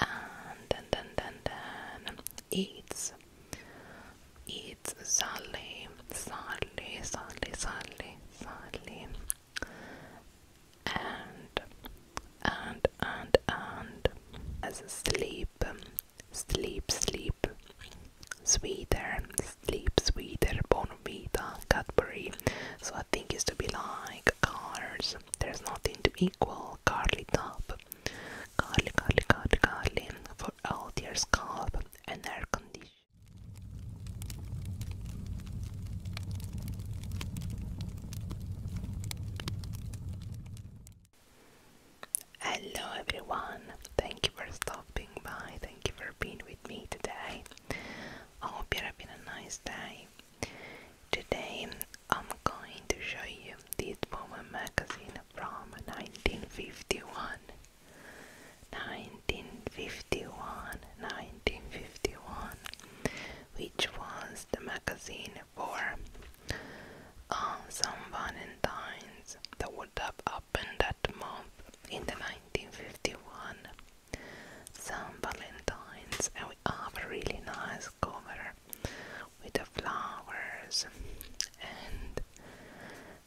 and then then then it's it's Sally Sally Sally Sally Sally and and and and as sleep sleep sleep sweeter sleep sweeter Bonvita Cadbury so I think it's to be like like There's nothing to equal Carly Top. Carly, Carly, Carly, Carly for all your scalp and air condition. Hello everyone, thank you for stopping by, thank you for being with me today. hope you're having a nice day. Today I'm going to show you this woman magazine from 1951. 1951, 1951, which was the magazine for um, some Valentines that would have happened that month in the 1951. Some Valentines, and we have really nice covered with the flowers and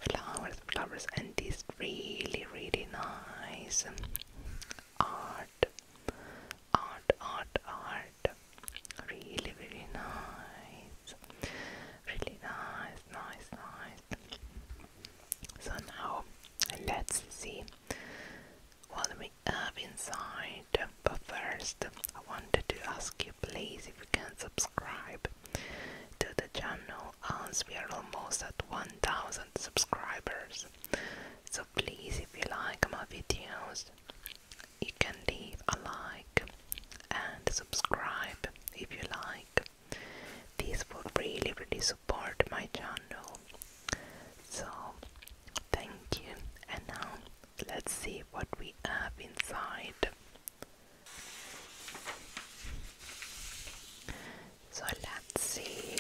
flowers, flowers, and this really, really nice art, art, art, art. Really, really nice. Really nice, nice, nice. So now let's see what we me up inside. But first, I wanted to ask you please if you can subscribe to the channel as we are almost at 1000 subscribers. So please, if you like my videos, you can leave a like and subscribe if you like. This would really, really support my channel. So, thank you, and now Let's see what we have inside. So let's see.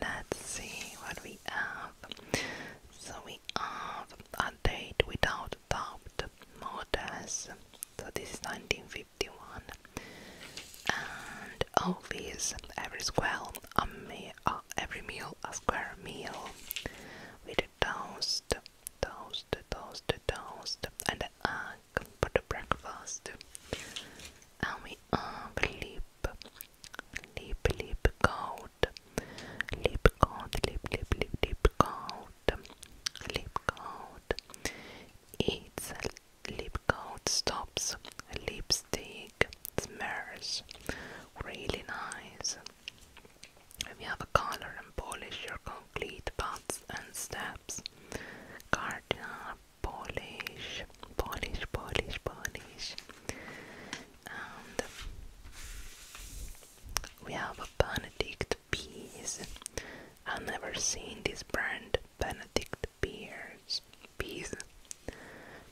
Let's see what we have. So we have a date without doubt, modest. So this is 1951. And all these every square, amazing meal, uh, every meal a square meal with a toast, toast, toast, toast, and an egg for the breakfast. And we have lip, lip, lip coat, lip coat, lip, lip, lip, lip coat, lip coat. It's lip coat stops, lip lipstick. It really nice. If have a color and polish your complete paths and steps. Cardinal polish, polish, polish, polish. And we have a Benedict Peas. i never seen this brand, Benedict beers Peas.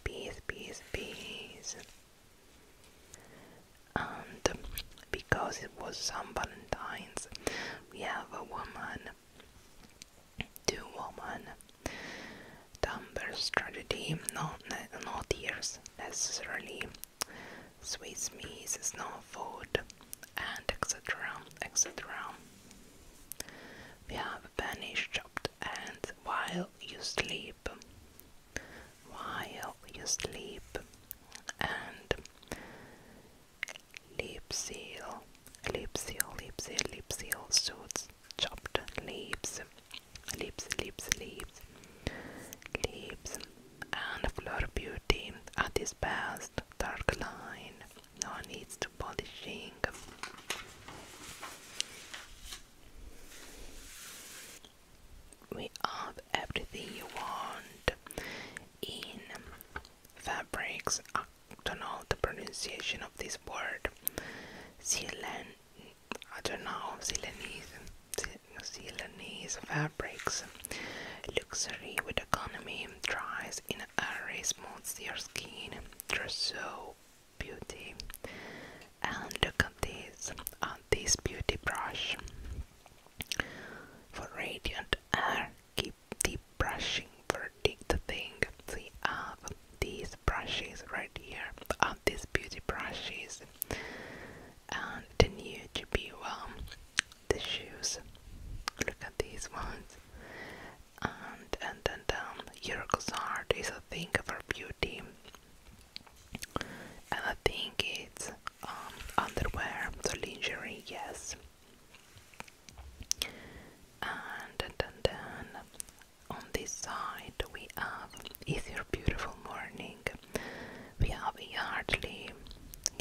Peas, peas, peas. And because it was St. Valentine's, we have a woman, two women, Dumber strategy, not, not necessarily, Swiss meat is not food, and etc. etc. We have a Spanish chop and while you sleep, while you sleep, and lip seal, lip seal, lip seal, lip seal suits chopped leaves, lips, lips, leaves, leaves, and floor beauty at its best, dark line, no needs to polishing. We have everything you want in fabrics. I don't know the pronunciation of this word. Silen, I don't know, Silenese, Silenese fabrics. Luxury with economy, dries in a airy, smooths your skin. Trousseau beauty and look at these on uh, this beauty brush for radiant air keep deep brushing for the thing see I these brushes right here on uh, these beauty brushes and the new GB one the shoes look at these ones and and and down, um, Yuriko's heart is a thing of her beauty. And I think it's um, underwear, so lingerie, yes. And then, then on this side we have Is Your Beautiful Morning. We have Yardley,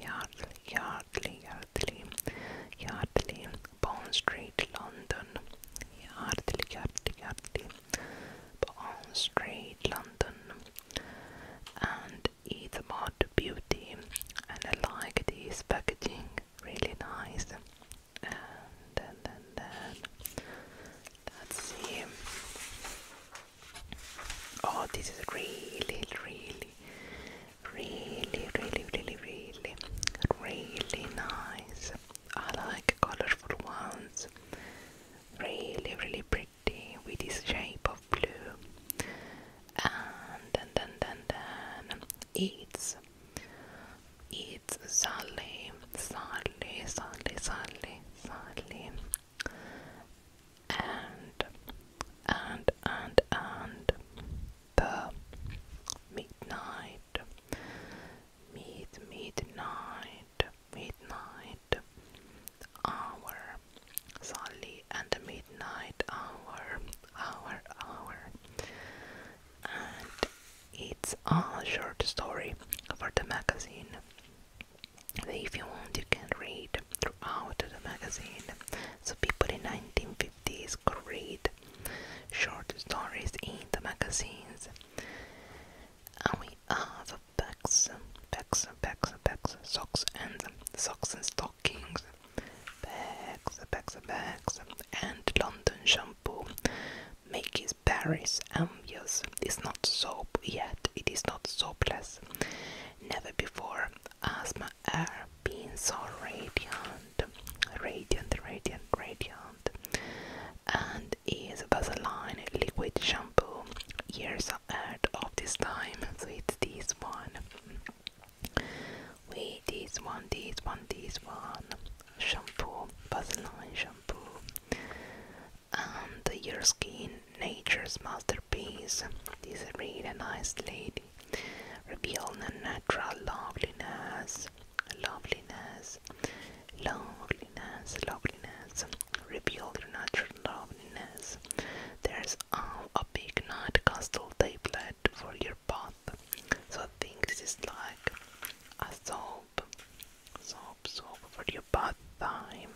Yardley, Yardley, Yardley, Yardley, Bond Street, London. Yardley, Yardley, Yardley. Bond Street, London, and Ethermod Beauty. And I like this packaging, really nice. And then, then, let's see. Oh, this is really, really, really, really, really, really, really nice. I like colorful ones. Really, really pretty with this shape of blue. And then, then, then, then it's it's Sally, Sally, Sally, Sally, Sally, and and and and the midnight mid midnight midnight hour Sally and midnight hour hour hour and it's a short story for the magazine if you want you can read throughout the magazine so people in 1950s could read short stories in the magazines and we are the bags, bags, bags, bags, socks and socks and stockings, bags, bags, bags, and London shampoo. Maggie's Paris Ambius um, is not soap yet. It is not soapless. Never before asthma air been so radiant, radiant, radiant, radiant. And is is Vaseline liquid shampoo. Years out of this time, so it's this one. Wait, this one, this one, this one. Shampoo, Vaseline shampoo. And your skin, nature's masterpiece. This really nice lady. Revealing natural loveliness loveliness, loveliness, loveliness, reveal your natural loveliness. There's a big night castle tablet for your bath. So I think this is like a soap, soap, soap for your bath time.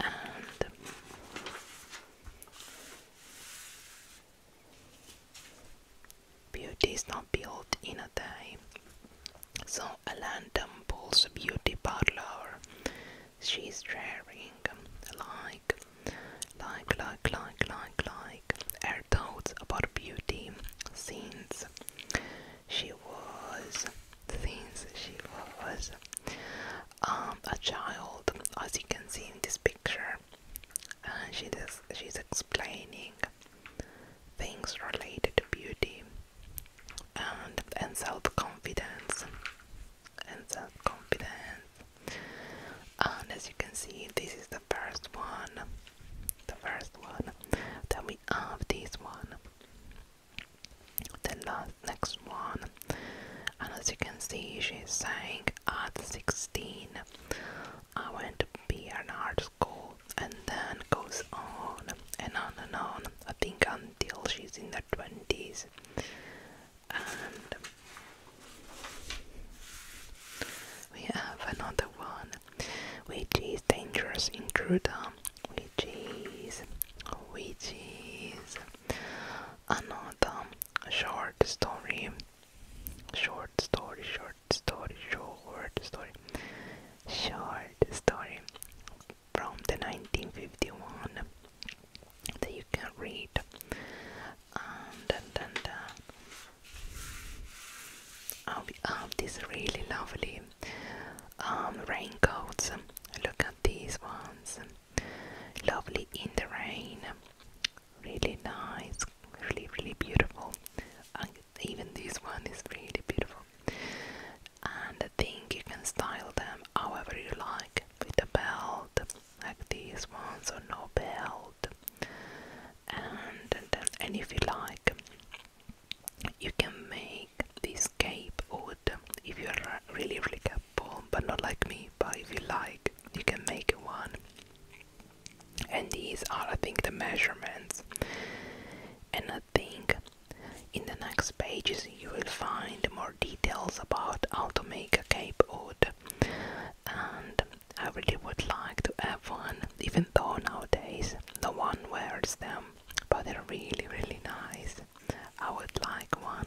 And Beauty is not built in a day. So Alan Temple's beauty parlor, she's sharing like, like, like, like, like, like her thoughts about beauty scenes. she was, since she was um, a child, as you can see in this picture. And she does, she's explaining things related to beauty and and self-confidence and self-confidence and as you can see this is the first one the first one then we have this one the last next one and as you can see she's saying at 16 I went to be an art school and then goes on and on and on. I think until she's in the twenties and we have another one which is dangerous intruder which is which is another short story short story short story, short story, short story from the 1951 that you can read. Um, dun, dun, we have these really lovely um, raincoats. Look at these ones. Lovely in the rain. Really nice. Really, really beautiful even this one is really beautiful. And I think you can style them however you like, with a belt, like these ones, or no belt. And, and then, if you like, you can make this cape wood if you're really, really capable, but not like me. But if you like, you can make one and these are I think the measurements and I think in the next pages you will find more details about how to make a cape hood and I really would like to have one even though nowadays no one wears them but they're really really nice I would like one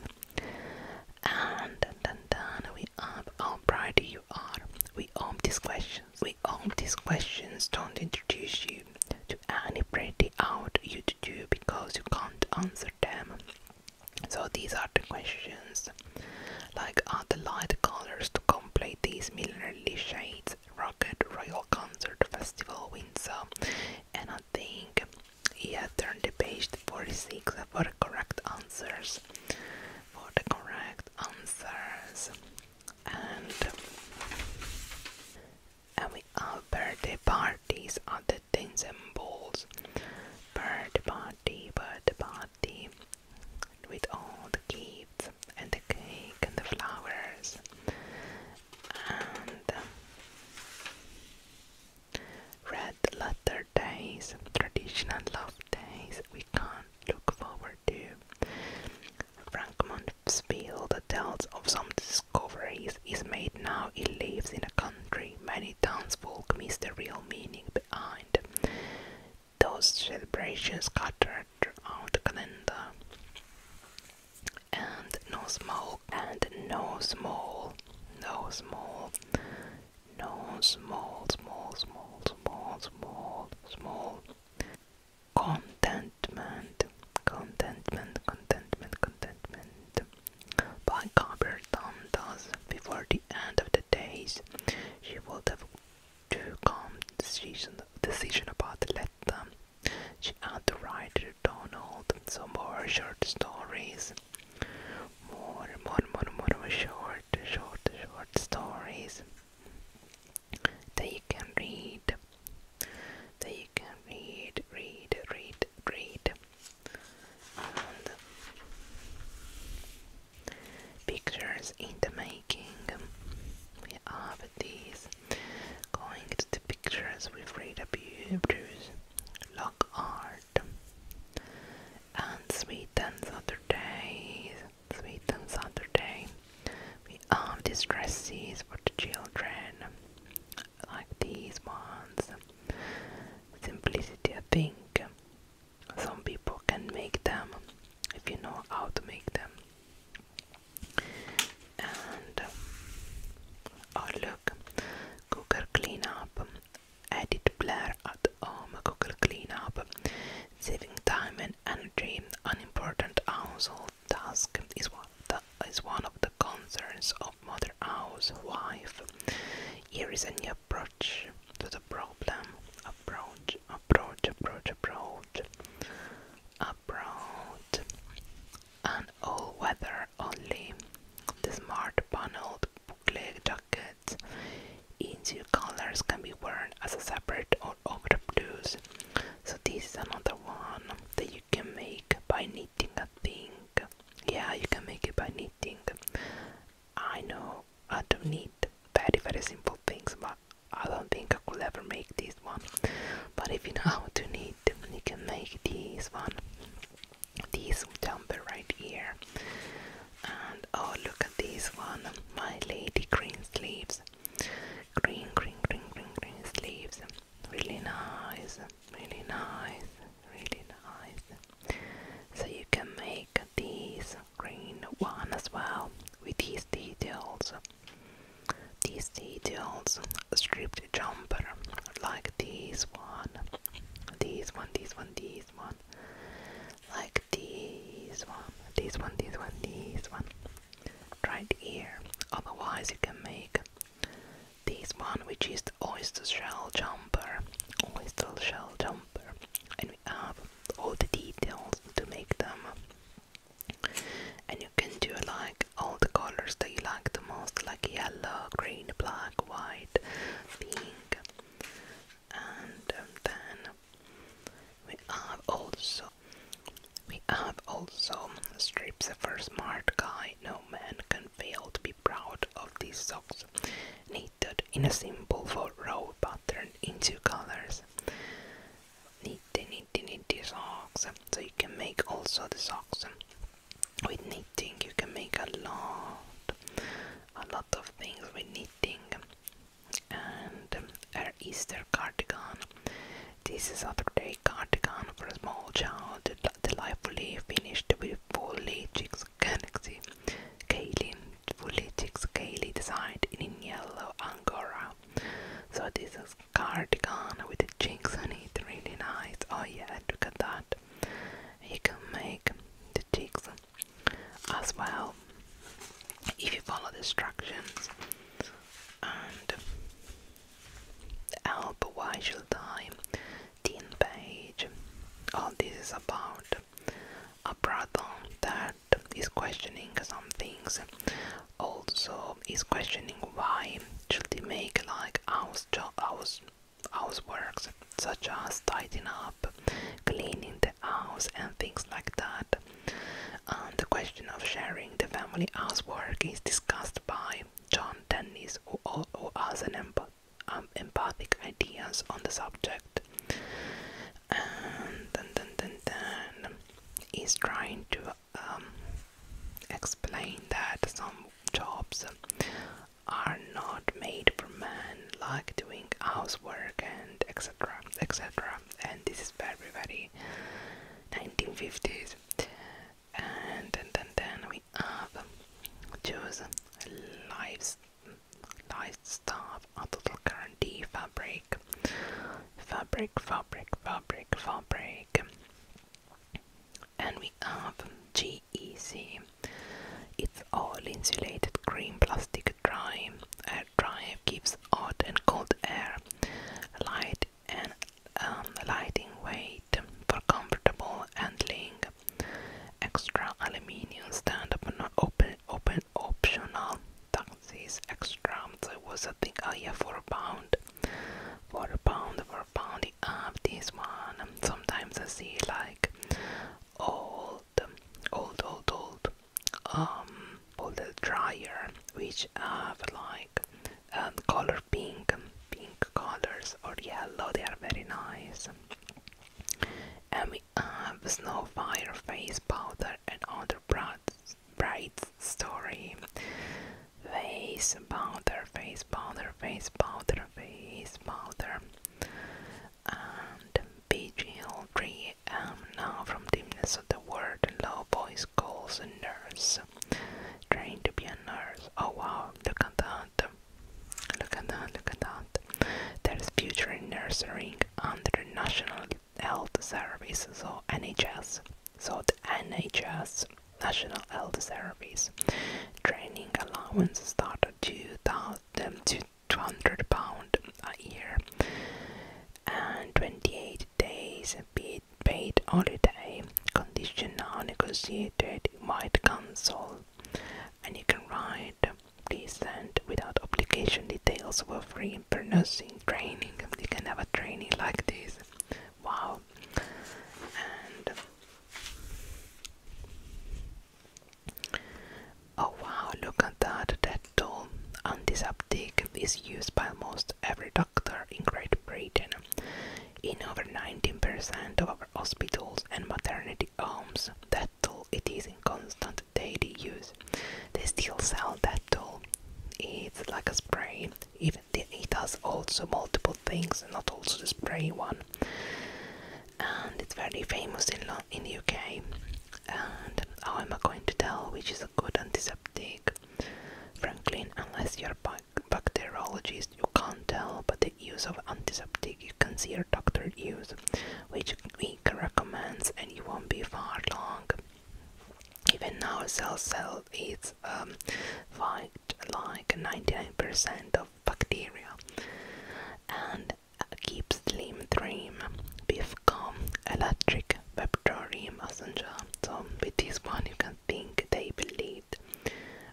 and then, then we have how bright are. We arm these questions. We arm these questions don't introduce you to any pretty out you to do because you can't answer them. So these are the questions. Like are the light colors to complete these millinery shades, Rocket Royal Concert Festival Windsor. And I think he has turned the page 46 for the correct answers. For the correct answers and and we have uh, birthday parties other things and balls birthday party birthday party with all the gifts and the cake and the flowers and red letter days traditional love days we can not look forward to. Frank that tells of some discoveries is made now he lives in a country many townsfolk miss the real meaning behind. Those celebrations scattered throughout the calendar. And no small, and no small, no small, no small, small, small, small, small, small Contentment, Contentment, Contentment, Contentment by Gabriel Thus, before the end of the days, she would have to come decision, decision about the letter. She had to write to Donald some more short stories. More, more, more, more short, short, short stories that you can read, that you can read, read, read, read, pictures in the making. We have these going to the pictures with Frida Bruce, Lock Art, and sweetens other Saturdays sweet Saturday. We have these dresses for the children, like these ones. Simplicity, I think. Some people can make them if you know how to make them. And oh, look, Google Cleanup. Edit Blair at home Google Cleanup. Saving time and energy, an important household task, is one, of the concerns of mother housewife. Here is a new approach to the problem. Approach, approach, approach, approach, approach, and all weather only. smart paneled bookleg jacket each colors can be worn as a separate or the blues. So this is another one that you can make by knitting a thing. Yeah, you can make it by knitting. I know I do knit very very simple things, but I don't think I could ever make this one. But if you know how to knit, you can make this one. This jumper right here. And oh, look at this one, my lady green sleeves. Green, green, green, green, green sleeves. Really nice, really nice, really nice. So you can make these green one as well with these details. These details, stripped jumper, like this one, these one, these one, these one like this one, this one, this one, this one, right here. Otherwise, you can make this one, which is the oyster shell jumper, oyster shell jumper, and we have all the details to make them. And you can do like all the colors that you like the most, like yellow, green, black, white, pink, and um, then we have also we have also strips for smart guy. No man can fail to be proud of these socks, knitted in a simple four row pattern in two colors. Nitty nitty nitty socks. So you can make also the socks with knitting. You can make a lot, a lot of things with knitting and her Easter cardigan. This is a day cardigan for a small child, delightfully finished with fully Galaxy Kaylee, fully Galaxy designed in yellow angora. So this is cardigan with the chicks on it, really nice. Oh yeah, look at that. You can make the chicks as well if you follow the instructions and help why should I teen page all this is about a brother that is questioning some things also is questioning why should they make like house job house house works such as tidying up cleaning the house and things like that um, the question of sharing the family housework is discussed by John Dennis, who, who has an um, empathic ideas on the subject. And then, then, then, then he's trying to um, explain that some jobs are not made for men, like doing housework etc etc and this is very very 1950s and then then, then we have choose lives livestock a total guarantee fabric fabric fabric fabric fabric and we have GEC it's all insulated green plastic dry drive gives hot and cold air, light and um, lighting weight for comfortable handling. Extra aluminium stand up not open open optional. Taxis extra. So was I think oh yeah for a pound. For a pound for a pound up this one. Sometimes I see like all old, old, old, um, old dryer, which have like um, color pink, pink colors or oh, yellow. They are very nice. And we have snow fire face powder and other bright, bright story. Face powder, face powder, face powder, face powder, and vigil tree now from dimness of the world, a low voice calls a nurse. Training to be a nurse. Oh wow, look at that. Look at that, look at that. There's future in nursing under National Health Services, or NHS. So the NHS, National Health Service. Training allowance started 2000, um, 2000 200 pound a year and 28 days paid holiday conditional negotiated might cancel and you can write please send without obligation details for free per nursing training you can have a training like this wow Oh wow, look at that, That Dettol antiseptic is used by almost every doctor in Great Britain. In over 19% of our hospitals and maternity homes, that Dettol it is in constant daily use. They still sell that Dettol. It's like a spray. Even it has also multiple things, not also the spray one. And it's very famous in in the UK. And how am I going to tell which is a good antiseptic? Frankly, unless you're a bacteriologist, you can't tell, but the use of antiseptic you can see your doctor use, which he recommends, and you won't be far wrong. Even now, cell cell is um, fight like 99% of bacteria, and Keep Slim Dream Bifcom Electric Vectory Messenger. So with this one you can think they believe.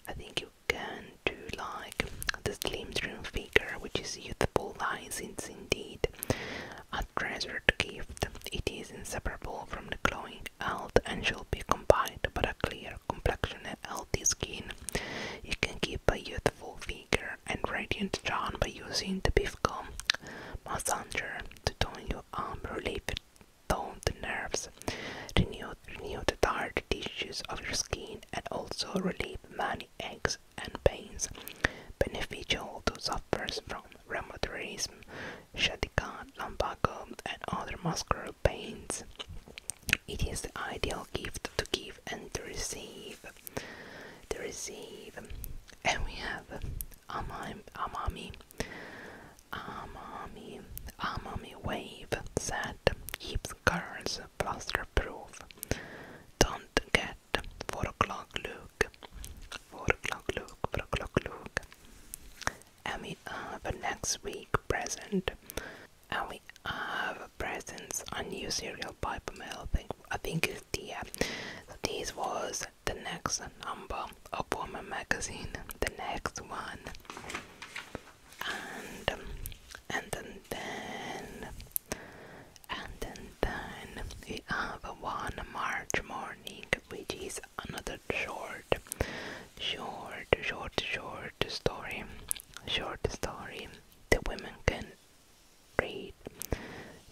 I think you can do like the Slim Dream figure which is youthful license indeed. A treasured gift. It is inseparable from the glowing health and shall be combined with a clear complexion and healthy skin. You can keep a youth full figure and radiant tone by using the Bifcom massager to tone your arm, um, relieve toned the nerves, renew, renew the tired tissues of your skin, and also relieve many aches and pains beneficial to sufferers from rheumatism, sciatica, lumbago, and other muscular pains. It is the ideal gift to give and to receive to receive. And we have Amami, Amami, Amami, wave that keeps girls plaster-proof. Don't get four o'clock look, four o'clock look, four o'clock look. And we have a next week present. And we have presents A new cereal pipe mill. I think I think Thea. So this was the next number of Woman magazine, the next one. And and then then and then then we one March morning which is another short short short short story short story the women can Reid.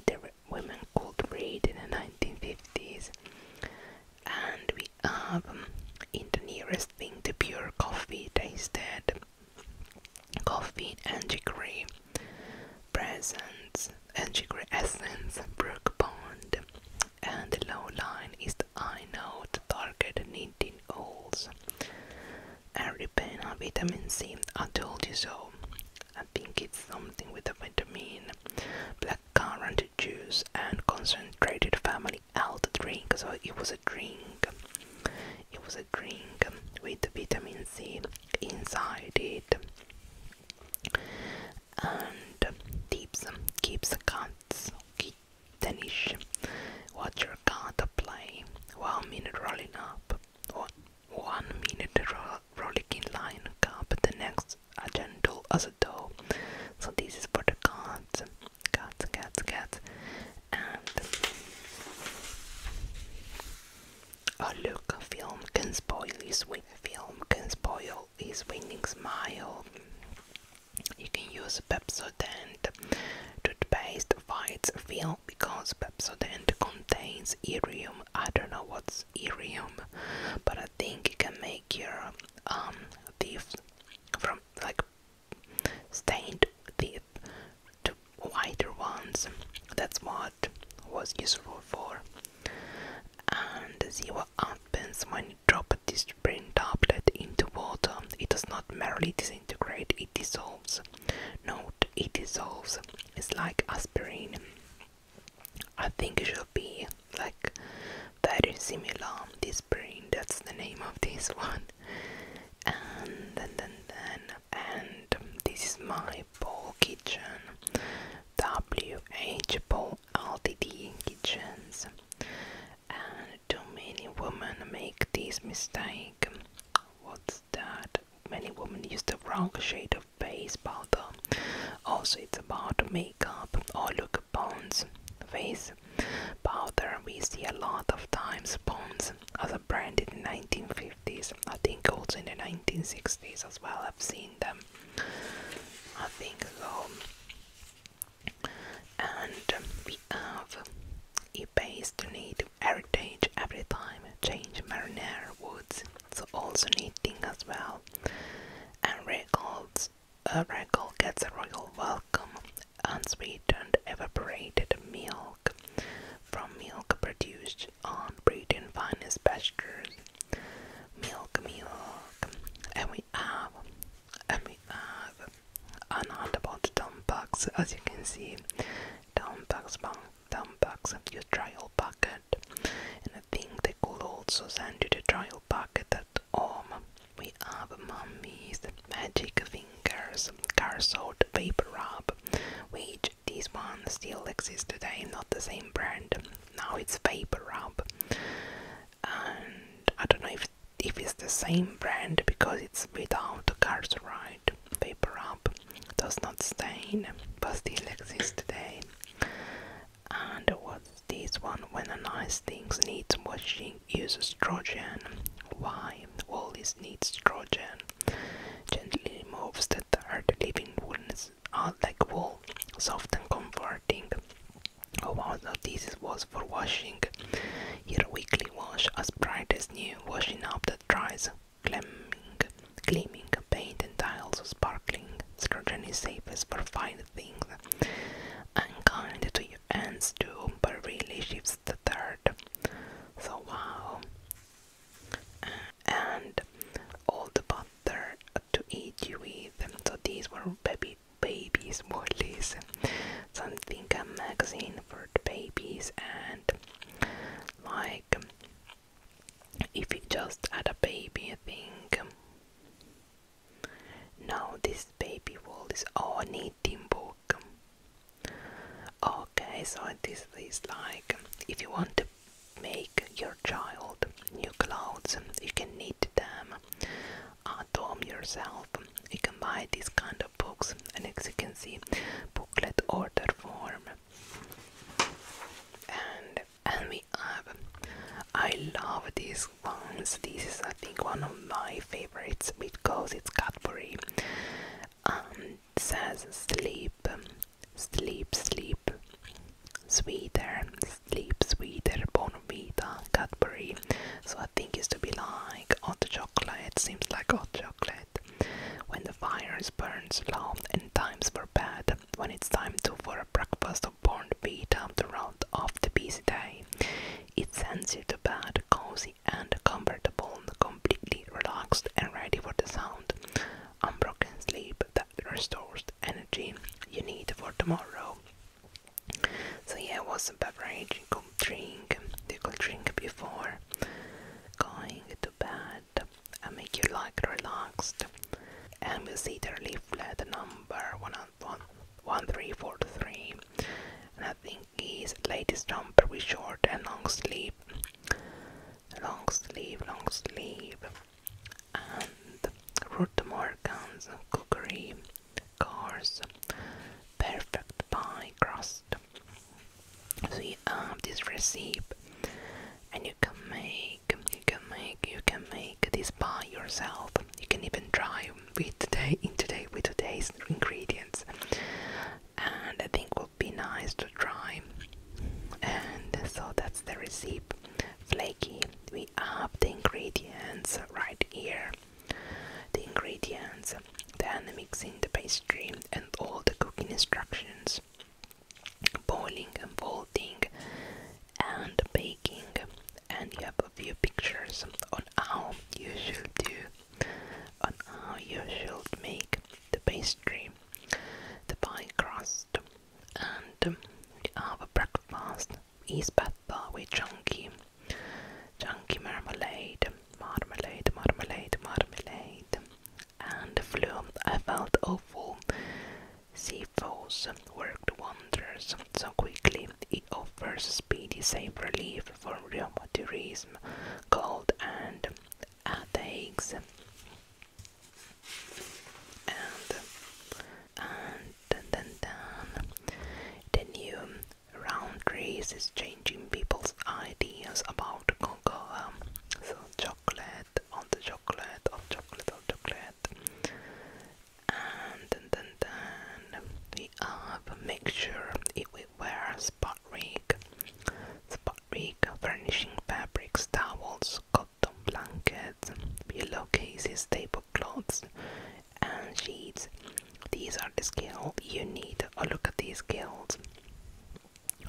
The women called Reid in the 1950s, and we have um, in the nearest thing to pure coffee tasted coffee and chicory presents, and chicory essence, Brook Pond, and the low line is the I note target 19 olds and Ribena vitamin C. I told you so. I think it's something with the vitamin, black currant juice, and concentrated family health drink. So it was a drink. It was a drink with vitamin C inside it. And tips keeps the cats kittenish. Watch your cat play minute rolling up. One one minute ro rollicking lion cub, the next a gentle as a doe. So this is for the cats, cats, cats, cats. And oh look, a film can spoil his win. Film can spoil his winning smile. You can use a Pepsodent toothpaste, whites, film because Pepsodent contains irium. I don't know what's irium, but I think it can make your um teeth from like stained teeth to whiter ones. That's what was useful for. And see what happens when you drop this brain tablet into water. It does not merely disintegrate, it dissolves Note it dissolves, it's like aspirin. I think it should be like very similar. This brain, that's the name of this one. And then, then, and this is my Paul Kitchen WH Kitchens. And too many women make this mistake. What's that many women use the wrong shade of face powder. Also, it's about makeup or look at bones. Face powder, we see a lot of times bones as a brand in the 1950s. I think also in the 1960s as well. I've seen them. I think so. And we have a base need heritage every time, change marinara woods, so also knitting as well. And records a record gets a royal welcome, unsweetened evaporated milk from milk produced on Britain's finest pastures. Milk, milk, and we have, and we have an about dump box as you can see $10 bank, 10 of your trial packet. And I think they could also send you the trial packet that arm. We have mummies, magic fingers, car soda, paper wrap, which this one still exists today, not the same brand. Now it's paper wrap. And I don't know if if it's the same brand because it's without cars right paper up does not stain but still exists today. And what's this one? When a nice things needs washing, uses estrogen. Why? All this needs estrogen. Gently removes that are the living wounds are like wool, soft and comforting. Oh wow, so this was for washing. Here weekly wash as bright as new, washing up that dries Climbing, gleaming, paint and tiles sparkling, Scourgeon is safest for fine things, unkind to your ends too, but really shifts the third. So wow. And all the butter to eat you with. So these were baby babies, what is something a magazine for the babies and like, if you just had a baby, I think. Now this baby wall is oh, all knitting book. Okay, so this is like if you want to make your child new clothes, you can knit them at home yourself. You can buy this kind of books and as you can see booklet order form and and we have I love these ones this is I think one of my favorites because it's Cadbury um says sleep sleep sleep sweeter sleep sweeter bonvita Cadbury so I think it's to be like hot chocolate seems like hot chocolate when the fires burns low and times were bad, when it's time to for a breakfast of born beat up to round off the busy day, it sends you to bed cozy and comfortable, completely relaxed and ready for the sound. Unbroken sleep that restores the energy you need for tomorrow. So yeah, it was a beverage com drink, you could drink before going to bed and make you like relaxed. And we'll see the leaflet number 11343 and I think is latest jumper with short and long sleeve long sleeve long sleeve and Ruth Morgan's cookery cars perfect pie crust. So you have this recipe, and you can make, you can make, you can make this pie yourself. You can even try with today in today with today's ingredients, and I think it would be nice to try. And so that's the recipe. Flaky. We have the ingredients right here. The ingredients then mixing the pastry and all the cooking instructions, boiling and folding and baking, and you have a few pictures on how you should do, on how you should make the pastry, the pie crust, and our breakfast is better with chunky, chunky marmalade marmalade, marmalade, marmalade, and the flu. I felt awful. Seafoes worked wonders so quickly. It offers speedy, safe relief from rheumatism, cold, and headaches. And and then, the new round race is changing people's ideas about cocoa. Um, so chocolate on the chocolate of chocolate of chocolate. And then, then, then we have make sure if we wear spot rig. Spot rig furnishing fabrics, towels, cotton blankets, pillow cases, table clothes and sheets these are the skills you need. Oh, look at these skills.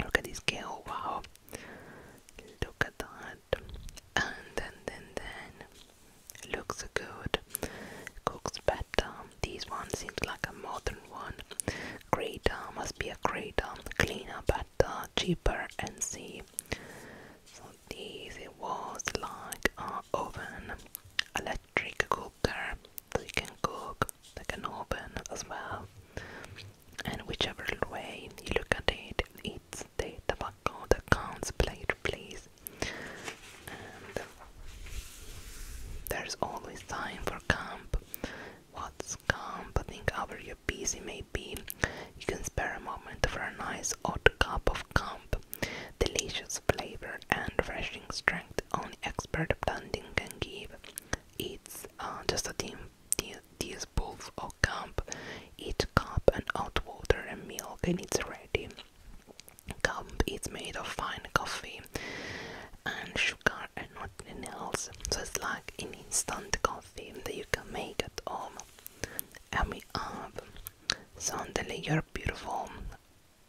Look at this skill. Wow. Look at that. And then, then, then. Looks good. Cooks better. This one seems like a modern one. Greater. Uh, must be a greater. Uh, cleaner, better, cheaper, and see. So this it was like an oven, electric cooker, they can Cook, like in Open as well. And whichever way you look at it, it's the tobacco that counts, plate, please. there's always time for camp. What's camp? I think however you busy may be, you can spare a moment for a nice hot cup of camp. Delicious flavor and refreshing strength only expert blending can give. It's uh, just a team tea, bowl or cup, each cup and hot water and milk and it's ready. Cup It's made of fine coffee and sugar and not nothing else. So it's like an instant coffee that you can make at home. And we have suddenly you're beautiful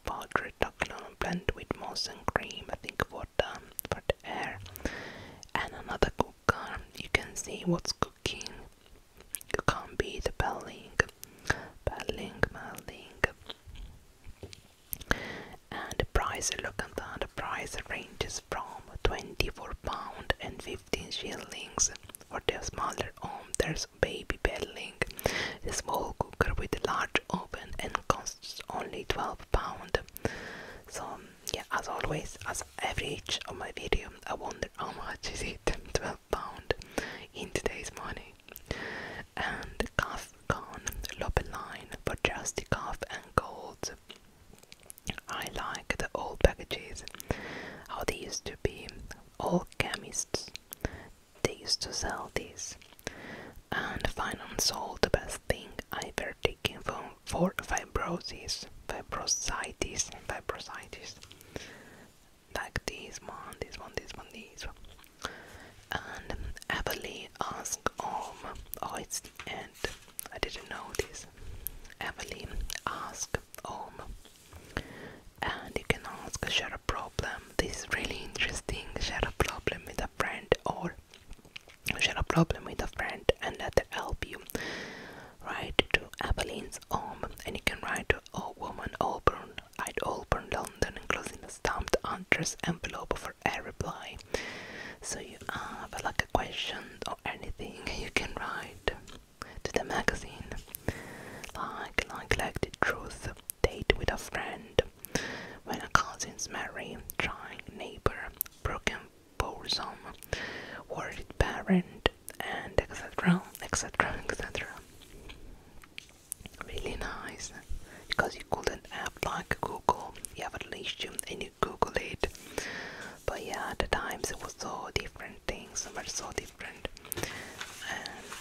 Valtredoxlon blend with moss and cream, I think for the, for the air. And another cooker, you can see what's cooking. You can't be the belling, belling, belling. And the price, look at that, the price ranges from 24 pound and 15 shillings. For the smaller home, there's baby belling a small cooker with a large oven and costs only 12 pound. So um, yeah, as always, as average of my videos, I wonder how much is it 12 pound in today's money. And calf con line for just calf and gold. I like the old packages, how they used to be. All chemists they used to sell these. And finally sold the best thing I've ever taken from for fibrosis, fibrositis, fibrositis. Like this one, this one, this one, this one. And Evelyn asked Om, um, oh it's the end, I didn't know this. Everly asked Om, um, and you can ask, you share a problem, um, this really interesting share a problem with a friend or share a problem with a friend and let them help you write to Evelyn's home and you can write to a woman Auburn at Auburn London enclosing a stamped address envelope for a reply so you have like a question or anything you can write to the magazine like like like truth date with a friend, when a cousin's marry, trying neighbor, broken bosom, worried parent, and etc. etc. etc. Really nice because you couldn't have like Google, you have a relation and you Google it. But yeah, the times it was so different things were so different, and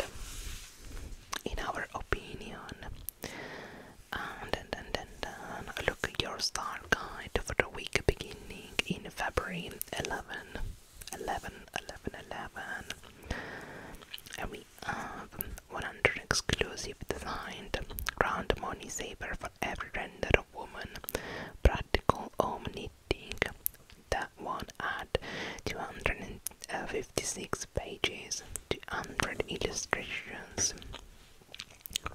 in our opinion, and then, then, then, look at your star guide for the week beginning in February 11, 11, 11, 11. And we have 100 exclusive designed ground money saver for every render of woman, practical omni thing That one at 210 uh, 56 pages, 200 illustrations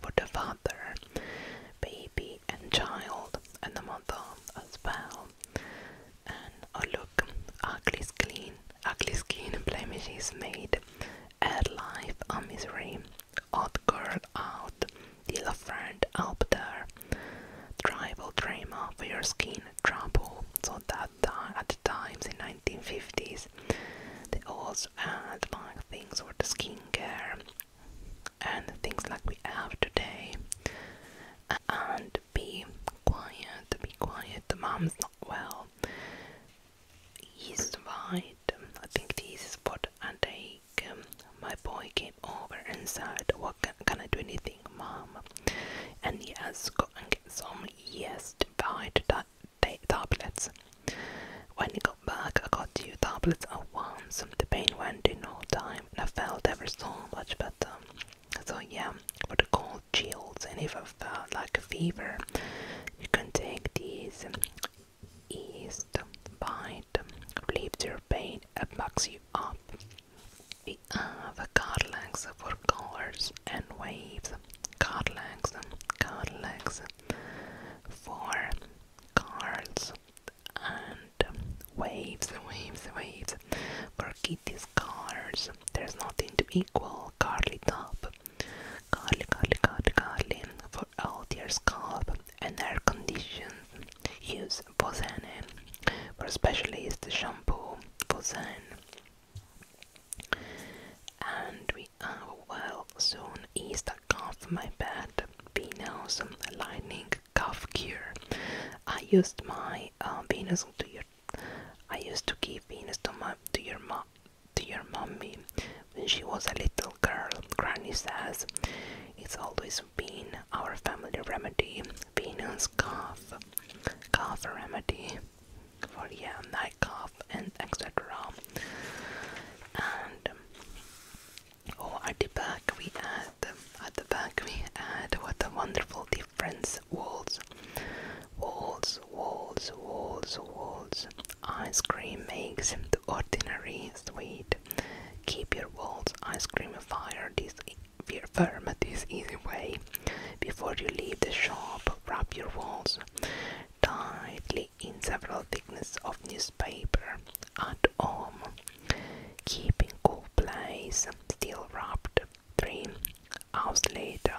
for the father, baby, and child, and the mother as well. And oh, look, ugly skin, ugly skin blemishes made, ad life a misery, odd girl out, deal a friend up there, tribal drama for your skin trouble. So that at times in 1950s. They also had like things for the skincare and things like we have today. And be quiet, be quiet. The mom's not well. He's right. I think this is what I take. My boy came over and said, "What can, I do anything, mom?" And he has got and gets only yeast behind ta tablets. When I got back, I got two tablets at once. The pain went in no time, and I felt ever so much better. So yeah, for the cold chills, and if I felt like a fever, you can take these yeast bite, relieves your pain, and backs you up have card legs for colors and waves, card legs, card legs for cards and waves, waves, waves for kitties cards. There's nothing to equal Carly top, Carly, Carly, Carly, Carly for all their scalp and air condition. Use Posane for specialist shampoo. Posane and we are well soon is the cough my bad Venus lightning cough cure. I used my uh, Venus to your I used to give Venus to my to your mom to your mommy when she was a little girl. Granny says it's always been our family remedy, Venus cough cough remedy. Korea, nightclub, and etc. And oh, at the back we had at the back we had what a wonderful difference walls, walls, walls, walls, walls. Ice cream makes the ordinary sweet. Keep your walls, ice cream, fire. This firm, this easy way. Before you leave the shop, wrap your walls tightly in several thicknesses of newspaper. At home, keep in cool place, still wrapped. 3. Hours later,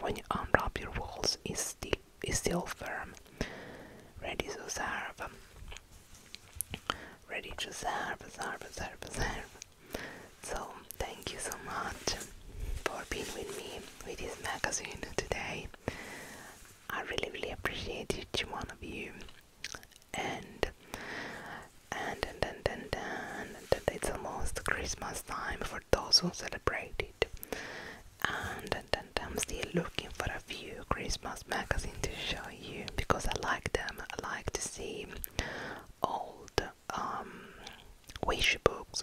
when you unwrap your walls, is still, is still firm. Ready to serve. Ready to serve, serve, serve, serve. So, thank you so much for being with me with this magazine today. I really, really appreciate each one of you. And and and and and, and, and it's almost Christmas time for those who celebrate it. And, and, and I'm still looking for a few Christmas magazines to show you because I like them. I like to see old um, wish books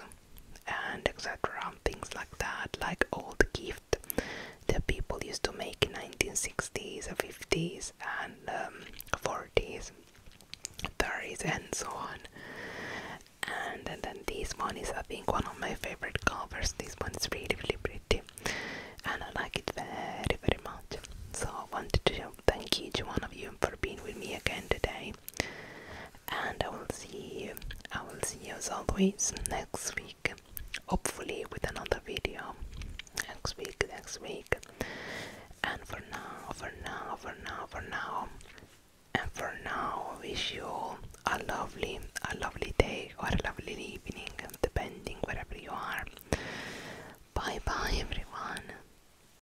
and etc. Things like that, like old gift that people used to make in 1960s, 50s, and 40s, 30s, um, and so on. And, and then this one is, I think, one of my favorite covers. This one is really, really pretty, and I like it very, very much. So I wanted to thank each one of you for being with me again today and I will see you. I will see you as always next week, hopefully with another video. Next week, next week. And for now, for now, for now, for now, and for now, I wish you all a lovely, a lovely day or a lovely evening, depending wherever you are. Bye bye, everyone.